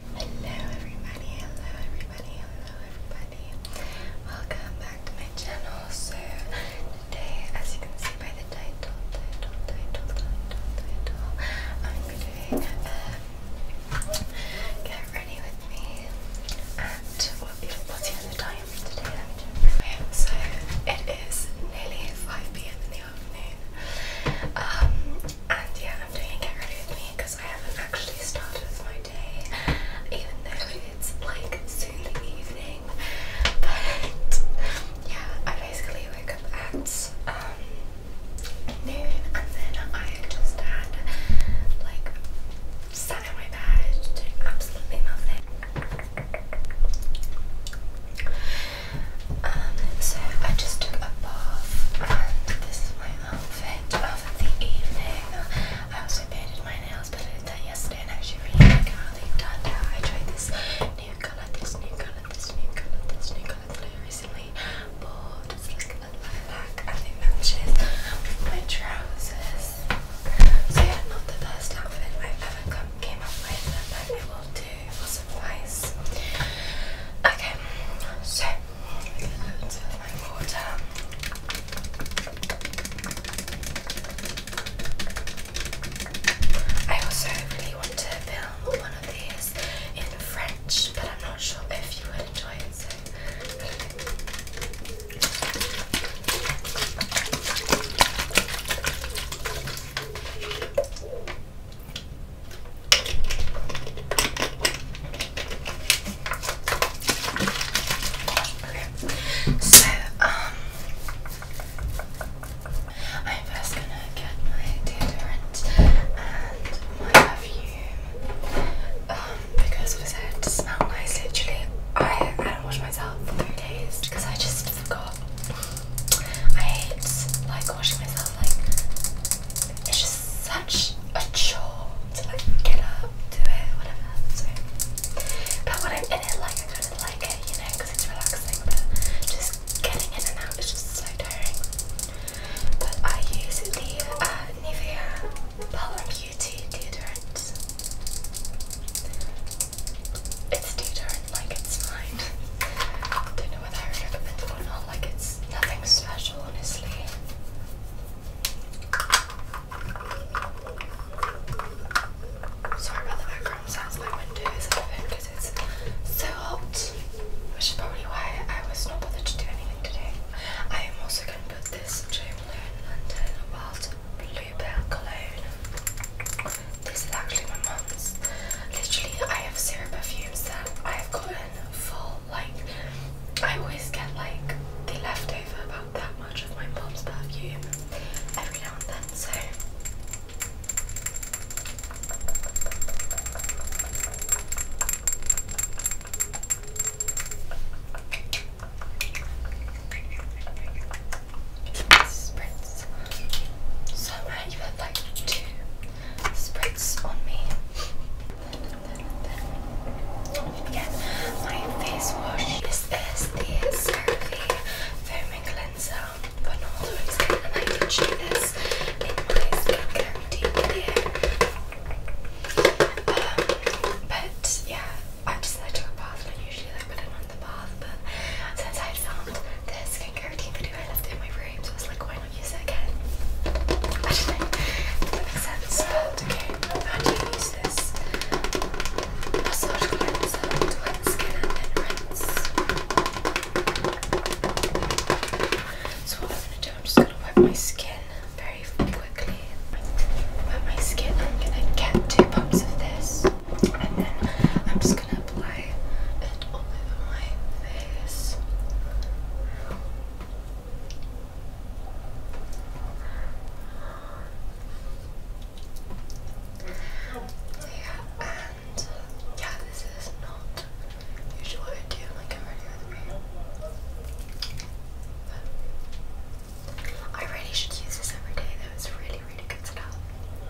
Hello everybody, hello everybody, hello everybody. Welcome back to my channel. So today, as you can see by the title, title, title, title, title, I'm doing uh, Get Ready With Me And what beautiful the time today, let me check. Okay, so it is nearly 5pm in the afternoon. Um, and yeah, I'm doing Get Ready With Me I haven't actually started my day, even though it's like soon the evening. But yeah, I basically wake up at um, noon and then I just had like my bed doing absolutely nothing. Um, so I just took a bath and this is my outfit of the evening. I also painted my nails, but I did that yesterday and I actually really like how they turned out. I tried this new colour, this new colour, this new colour, this new colour that I recently bought. It's like a lilac and it matches my trousers. So yeah, not the best outfit I've ever come, came up with, but it will do, it will suffice. Okay, so I also really want to film one of these in French, but I'm not sure if you would enjoy it, so so um, I'm first gonna get my deodorant and my perfume um, because obviously I had to smell nice. Literally, I do not wash myself for three days because I just forgot. I hate like washing myself. Like it's just such a chore to like get up, do it, whatever. but when I'm in it, like I kind of like it, you know, it's relaxing. But just getting in and out is just so tiring. But I use the uh, Nivea Balm UT deodorant. It's deodorant, like it's mine. I don't know whether I recommend it or not. Like it's nothing special, honestly. Sorry about the background sounds. My window is open it's so hot, which is probably why I was not bothered to do anything today. I am also going to put this Jo Malone London Wild Bluebell Cologne. This is actually my mum's. Literally, I have zero perfumes that I have gotten full. Like I always get like the leftover about that much of my mom's perfume every now and then. So. Spritz. Summer, you had like two spritz on me. Then get my face wash. This is the CeraVe Foaming Cleanser for Northern Wednesday and I feature this in my skincare routine um, but yeah, I just I took a bath and I usually like put it on the bath but since I found the skincare routine video I left it in my room so I was like use it again? I don't know. That makes sense. okay, how do you use this? Massage cleanser to wet the skin and then rinse. So what I'm gonna do, I'm just gonna wipe my skin very quickly. Wipe my skin. I'm gonna get two pumps of this, and then I'm just gonna yeah, and yeah, this is not usually I do like I'm with me. I really should use this every day though, it's really really good stuff.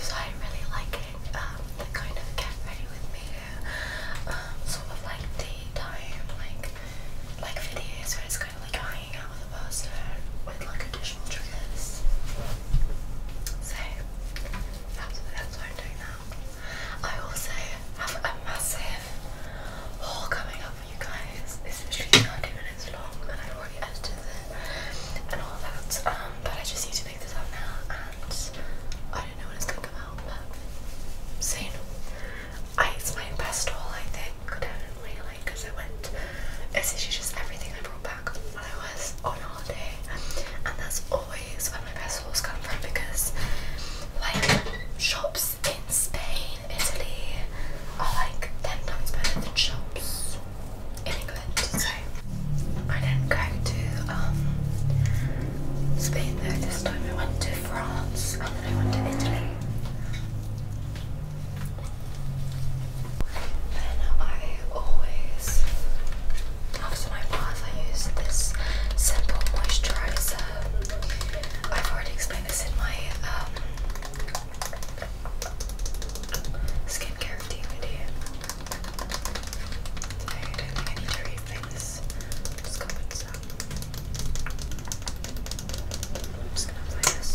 So I really like it, um, kind of get ready with me, um, sort of like daytime, like, like videos where it's kind of like I out with a person with like additional triggers. So, that's, what I'm doing now. I also have a massive haul coming up for you guys. This is literally not even minutes long and I've already edited it and all that. Um, but I just need to pick this up now and I don't know when it's gonna come out, but soon. I, it's my best haul I think, definitely, because I went, it's actually just everything I brought back when I was on holiday and that's always where my best hauls come from because like shops in Spain, Italy are like 10 times better than shops in England, so I didn't go to um, Spain though this time. I went to France and then I went to Italy. Then I always, after my bath, I use this simple moisturizer. I've already explained this in my um, Skincare routine idea. I don't think I need to rethink this. I'm just gonna put this up. I'm just gonna apply this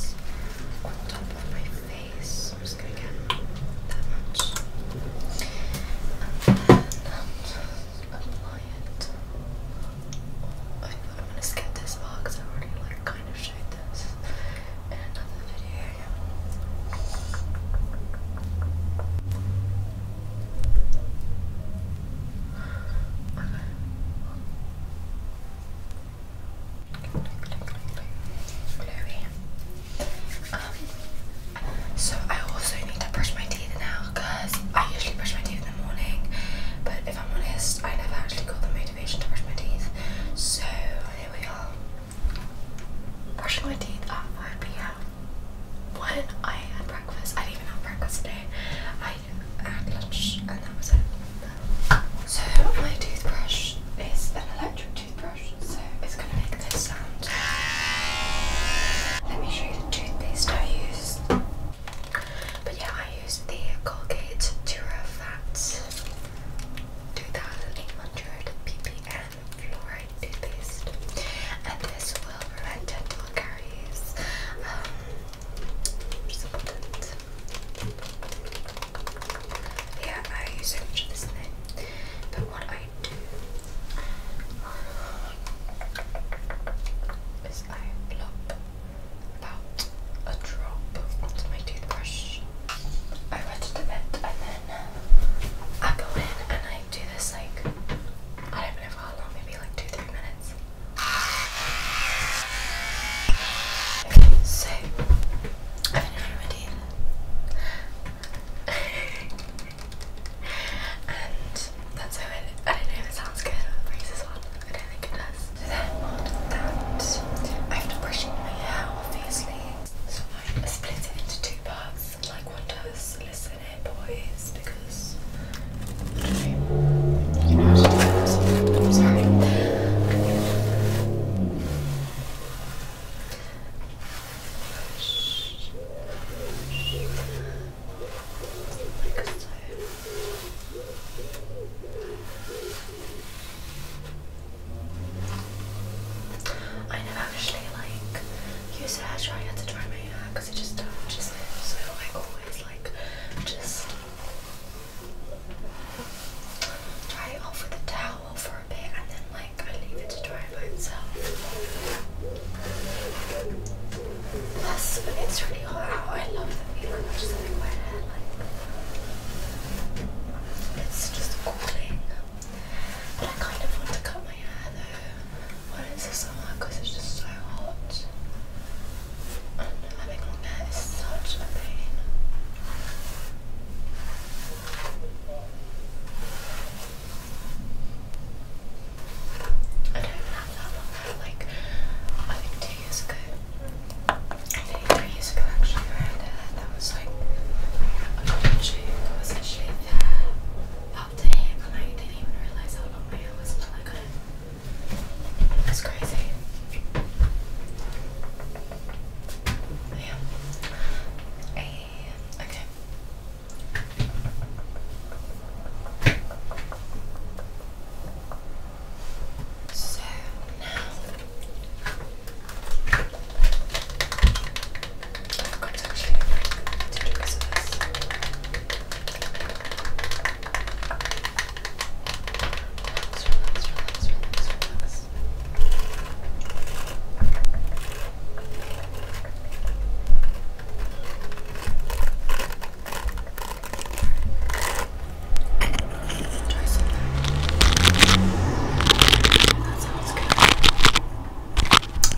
on top of my face. I'm just gonna get that much. And then I'm just apply it. I, I'm gonna skip this part because I already like kind of um, so I also need to brush my teeth now because I usually brush my teeth in the morning, but if I'm honest, I never actually got the motivation to brush my teeth. So here we are. Brushing my teeth at 5 pm. When I had breakfast, I didn't even have breakfast today. I had lunch and that was it. So, my toothbrush is an electric toothbrush, so it's going to make this sound. Let me show you the toothpaste I used. But yeah, I used the Colgate Dura Fat 2800 ppm fluoride toothpaste, and this will prevent dental caries. Um, yeah, I use so much of this thing, but what I do um, is I plop about a drop onto my toothbrush. I wet it a and then I go in and I do this like, I don't know for how long, maybe like two, three minutes. so I finished my teeth. and that's how it, I don't know if it sounds good on the one, I think it is. Then have to brush my hair obviously. So I split it into two parts, like one does listen here boys because I you know how to do that sorry. I never actually like use a hair dryer to dry my hair because it just damages it. So I always like just dry it off with a towel for a bit and then like I leave it to dry by itself. Plus, when it's really hot out, I love the feeling of just having wet hair like it's just cooling. But I kind of want to cut my hair though when it's the because it's just so hot. And having long hair is such a pain. I don't have that long hair. Like I think two years ago the previous collection I had that, that was like a golden shave. was a shave that popped a I didn't even realize how long my was until I got it. It crazy. Yeah. And, Okay. So now I've got to actually to do this. Relax, relax, relax, relax, relax. I didn't know you would enjoy some of that. That sounds good.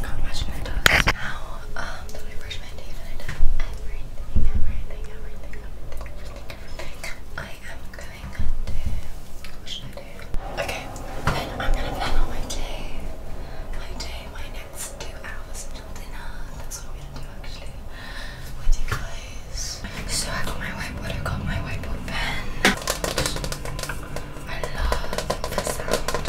Not much of it does. Now, um, that I brush my teeth and I do everything, everything, everything, everything, everything, everything, I am going to. What should I do? Okay, then I'm gonna plan out my day. My day, my next two hours until dinner. That's what we so I got my whiteboard, I got my whiteboard pen. I love the sound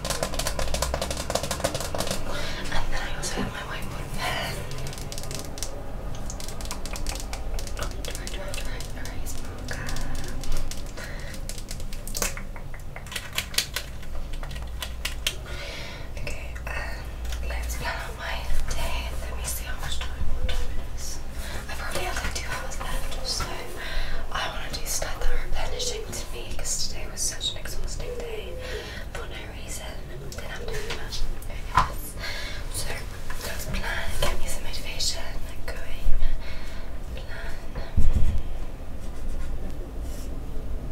and then I also have my whiteboard pen. Okay, um, let's plan out my day. Let me see how much time, what time it is. I probably have like two hours left, so I want to do stuff that are replenishing to me because today was such an exhausting day for no reason. Didn't have to much. So plan. Get me some motivation. Plan.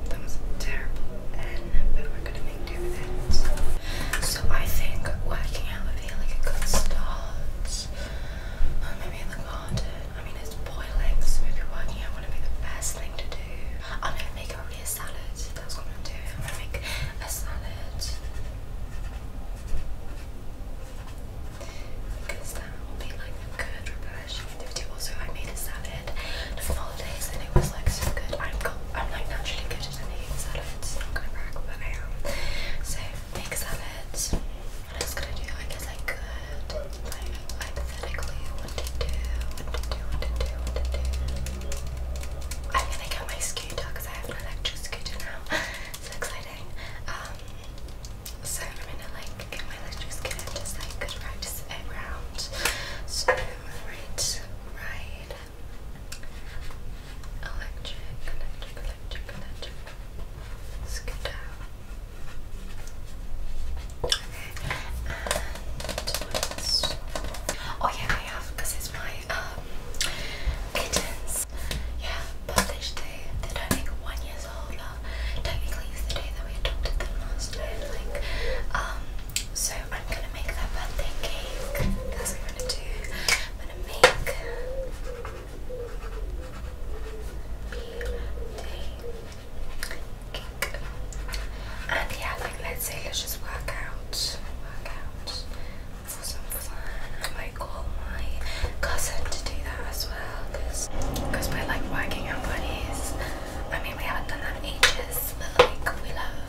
That was terrible, and but we're gonna make do with it. So I think working out would be like a good start. maybe in the garden. I mean, it's boiling, so maybe working out would be the best thing to do. I'm gonna make only a salad. That's what I'm gonna do. I'm gonna make a salad. Because that will be like a good reversion Also, I made a salad for holidays and it was like so good. I'm got, I'm like naturally good at making salads. i not gonna brag, but I am. So make salads. What else could I do? I guess I could I'm gonna get my scooter because I have an electric scooter now. so exciting. Um, so I'm gonna like get my electric scooter and just like good practice it around. So right, right. Electric, electric, electric, electric. Scooter. And what Oh yeah, I have because it's my um, kittens. Yeah, published They're turning one years old. Uh, technically, it's the day that we adopted them last year. um, so I'm gonna make their birthday cake. That's what I'm gonna do. I'm gonna make. Birthday and yeah, like let's say let's just work out, work out for some fun. I might call my cousin to do that as well, because cause we're like working out buddies. I mean, we haven't done that in ages, but like we love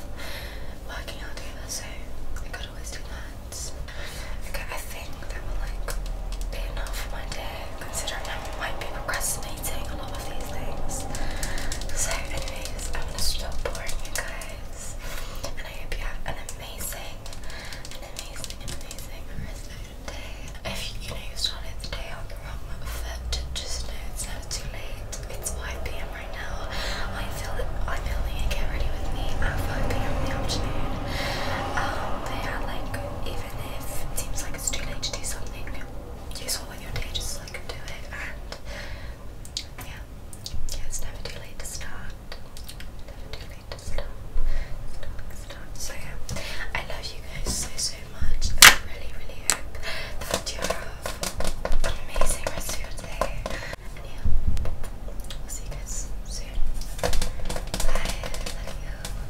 working out together, so I could always do that. Okay, I think that will like be enough for my day considering I might be procrastinating a lot of these things. So, anyways, I'm gonna stop boring you guys, and I hope you have an amazing, an amazing, amazing rest day. If you know you started the day on the wrong foot, just know it's never too late. It's 5 p.m. right now. I feel that I'm filming get ready with me at 5 p.m. in the afternoon. Um, but yeah, like it seems like it's too late to do something useful with your day, just like do it. And yeah, yeah it's never too late to start. Never too late to start. Start, start. So yeah, I love you guys so so much. I really really hope that you have an amazing rest of your day. And yeah, we'll see you guys soon. Bye. Love you.